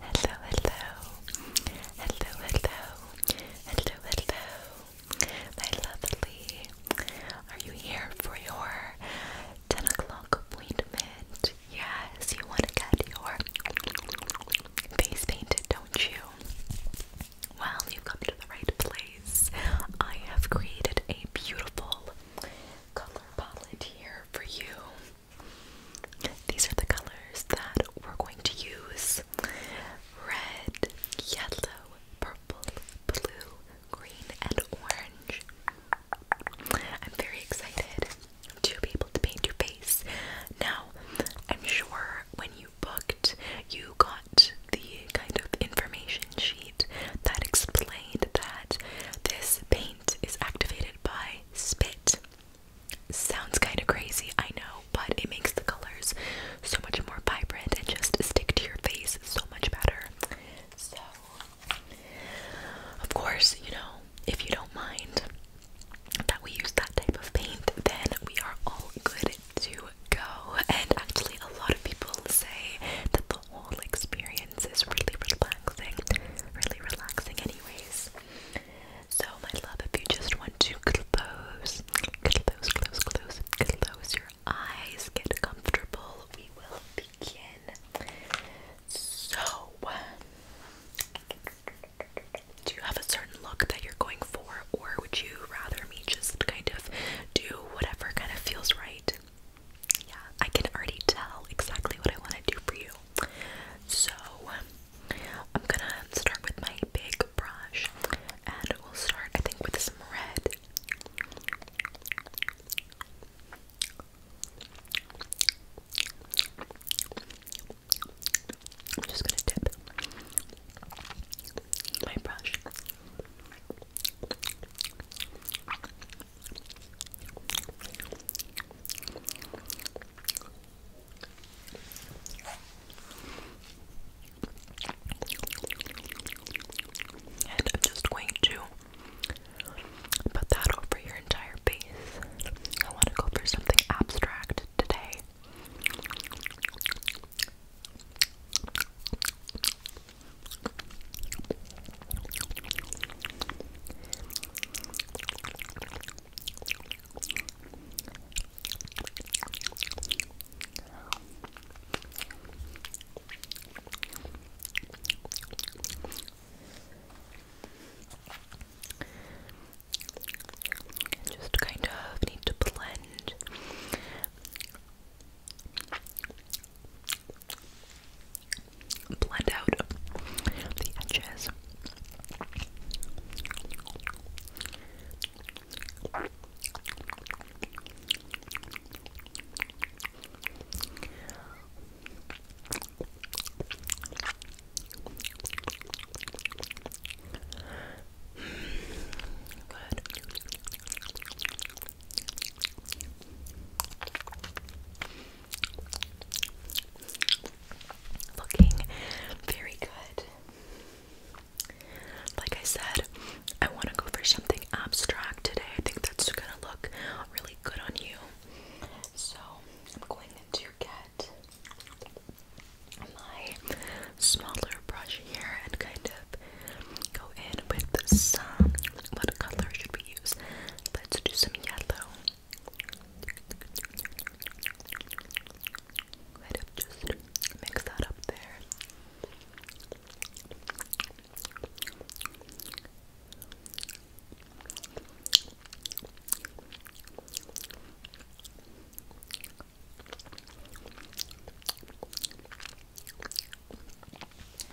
Hello, hello, hello, hello, hello, hello, my lovely. Are you here for your 10 o'clock appointment? Yes, you want to get your face painted, don't you? Well, you've come to the right place. I have created a beautiful color palette here for you. These are the colors that we're going to use red, yellow, purple, blue, green, and orange. I'm very excited to be able to paint your face. Now, I'm sure when you booked, you got the kind of information sheet that explained that this paint mind is activated by spit. Sounds kind of crazy, I know, but it makes the colors so much more vibrant and just stick to your face so much better. So, of course, you know, if you don't mind that we use that type of paint, then we are all good to go. And actually, a lot of people say that the the whole experience is really relaxing. Really relaxing, anyways. So, my love, if you just want to close, close, close, close, close your eyes, get comfortable, we will begin. So, do you have a certain look that you're going for, or would you rather me just kind of do whatever kind of feels right? yeah, I can already tell exactly what I want to do for you. So, I'm gonna start with my big brush, and we'll start, I think, with some red. I'm just gonna dip my brush and I'm just going to put that over your entire base. I want to go for something abstract today. Just kind of need to blend blend out the edges. Good. Looking very good. Like I said, I want to go for something abstract today. I think that's gonna look really good on you. So I'm going to get my smaller brush here and kind of go in with some. What color should Let's do some yellow. Right up, just mix that up there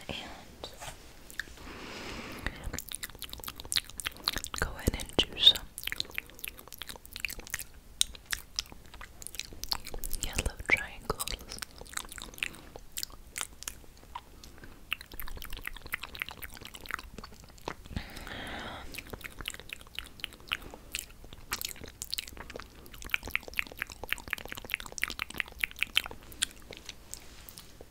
and go in and do some yellow triangles. Good.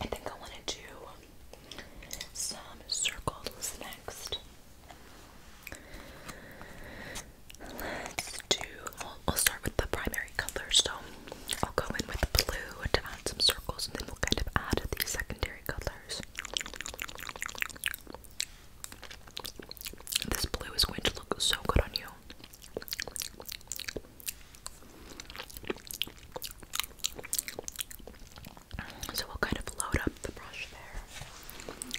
I think I want to do some circles next. Let's do I'll, start with the primary color. So I'll go in with the blue to add some circles, and then we'll kind of add the secondary colors. This blue is going to look so good on you. So we'll kind of load up the brush there.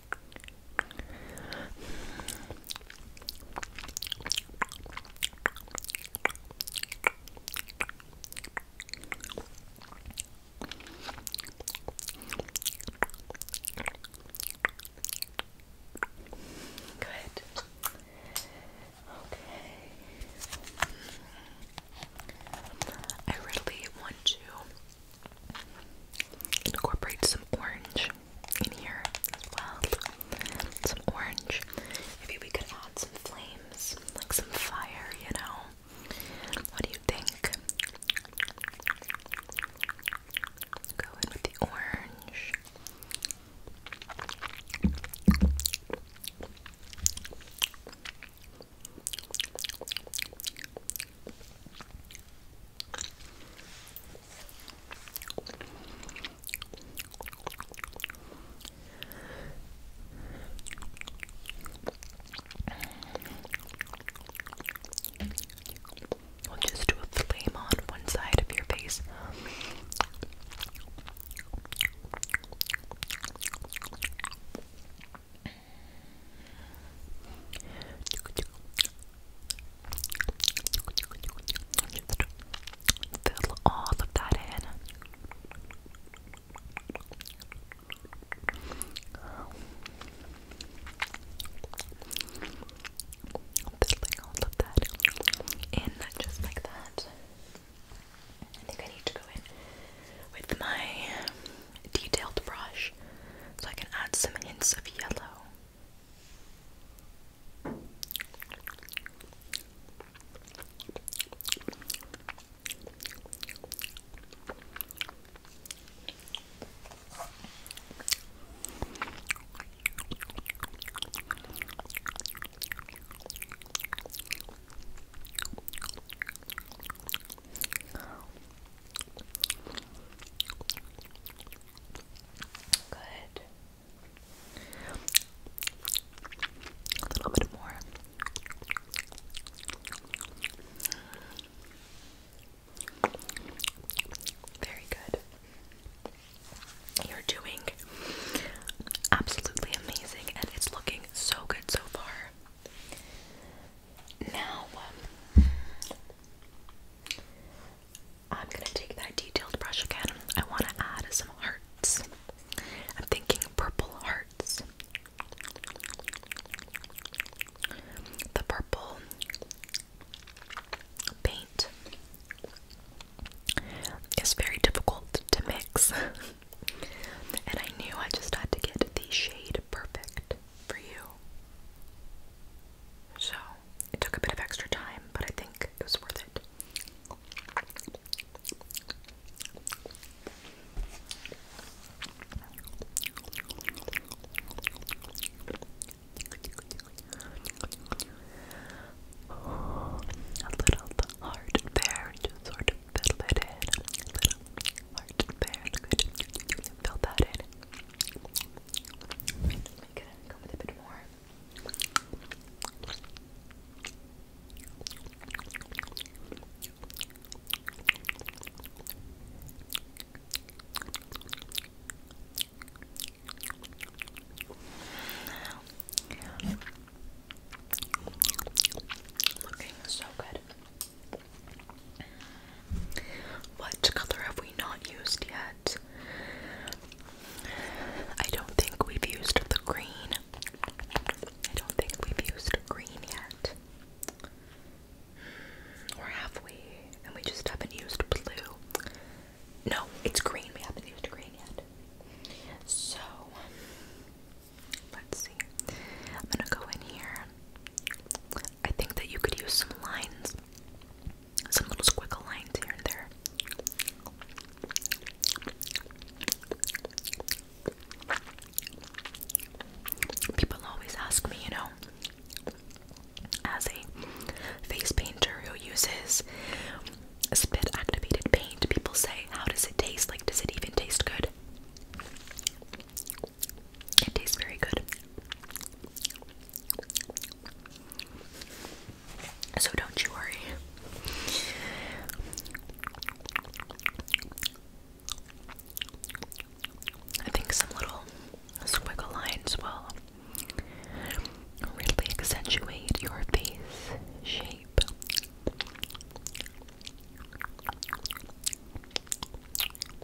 Good. Okay. I really want to Incorporate some orange in here as well. Some orange. Maybe we could add some flames, like some fire, you know? What do you think? Go in with the orange. We'll just do a flame on one side of your face. Fill all that in. in just like that. I think I need to go in with my detailed brush so I can add some hints of yellow. Good. A little bit more. Very good. You're doing absolutely amazing, and it's looking so good so far. Now, um, I'm gonna take that detailed brush again. I want to add some hearts. I'm thinking purple hearts. The purple paint is very difficult to mix, and I knew I just had to get the shade perfect for you. So it took a bit of extra time, but I think it was worth it. A little hard there, just sort of fiddle it in. Heart there, Fill that in. Make it go with a bit more. looking so good. What color have we not used yet? I don't think we've used the green. I don't think we've used green yet. Or have we? And we just haven't used blue. No, it's green. We haven't used green yet. So, let's see. I'm gonna go in here. I think that you could use some lines, some little squiggle lines here and there. People always ask me, you know, as a face painter who uses spit activated paint, people say, How does it taste? Like, does it even taste good? It tastes very good. So don't you worry. I think some little squiggle lines will really accentuate your face shape.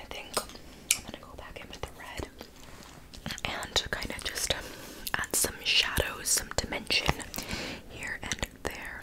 I think I'm gonna go back in with the red and kind of just um, add some shadows, some dimension here and there.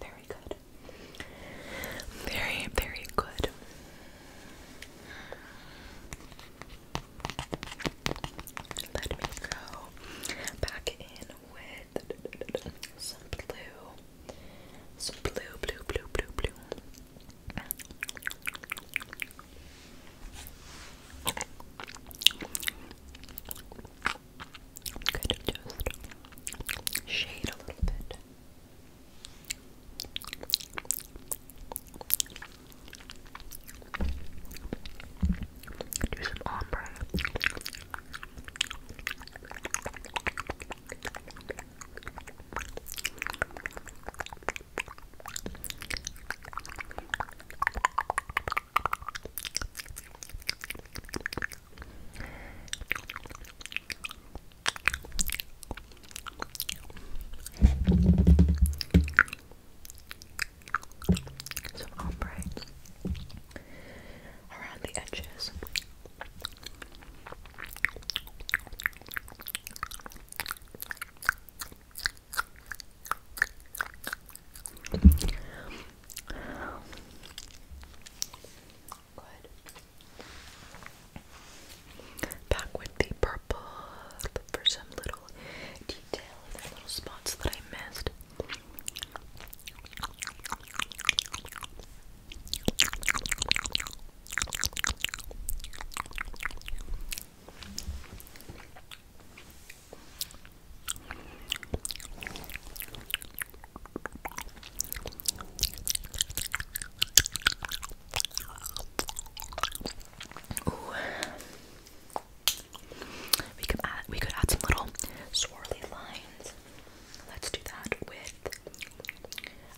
Very good. Very, very good. Let me go back in with some blue. So blue, blue, blue, blue, blue. i just shade a little bit. Do some ombre. Some ombre around the edges. Good. Back with the purple for some little detail little spots that I missed. Ooh. We could add we could add some little swirly lines. Let's do that with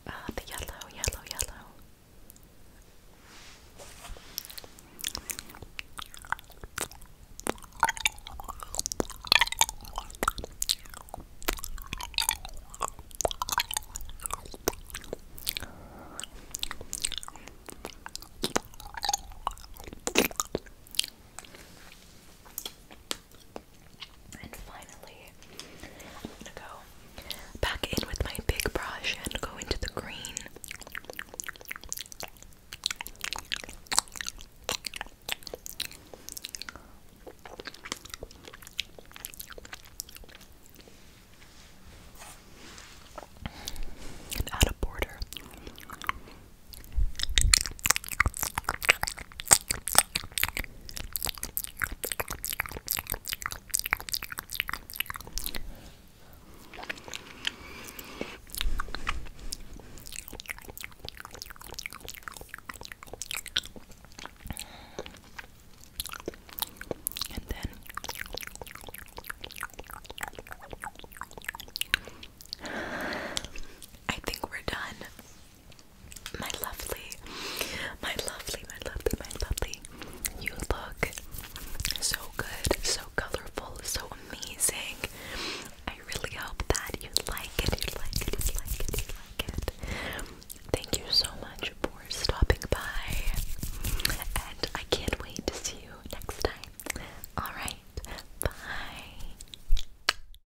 uh, the yellow, yellow, yellow. And finally, I'm gonna go back in with my big brush and go into the green. And add a border. And then I think we're done. My lovely, my lovely, my lovely, my lovely. You look so good, so colorful, so amazing. I really hope that you like it, you like it, you like it, you like it. Thank you so much for stopping by. And I can't wait to see you next time. Alright, bye.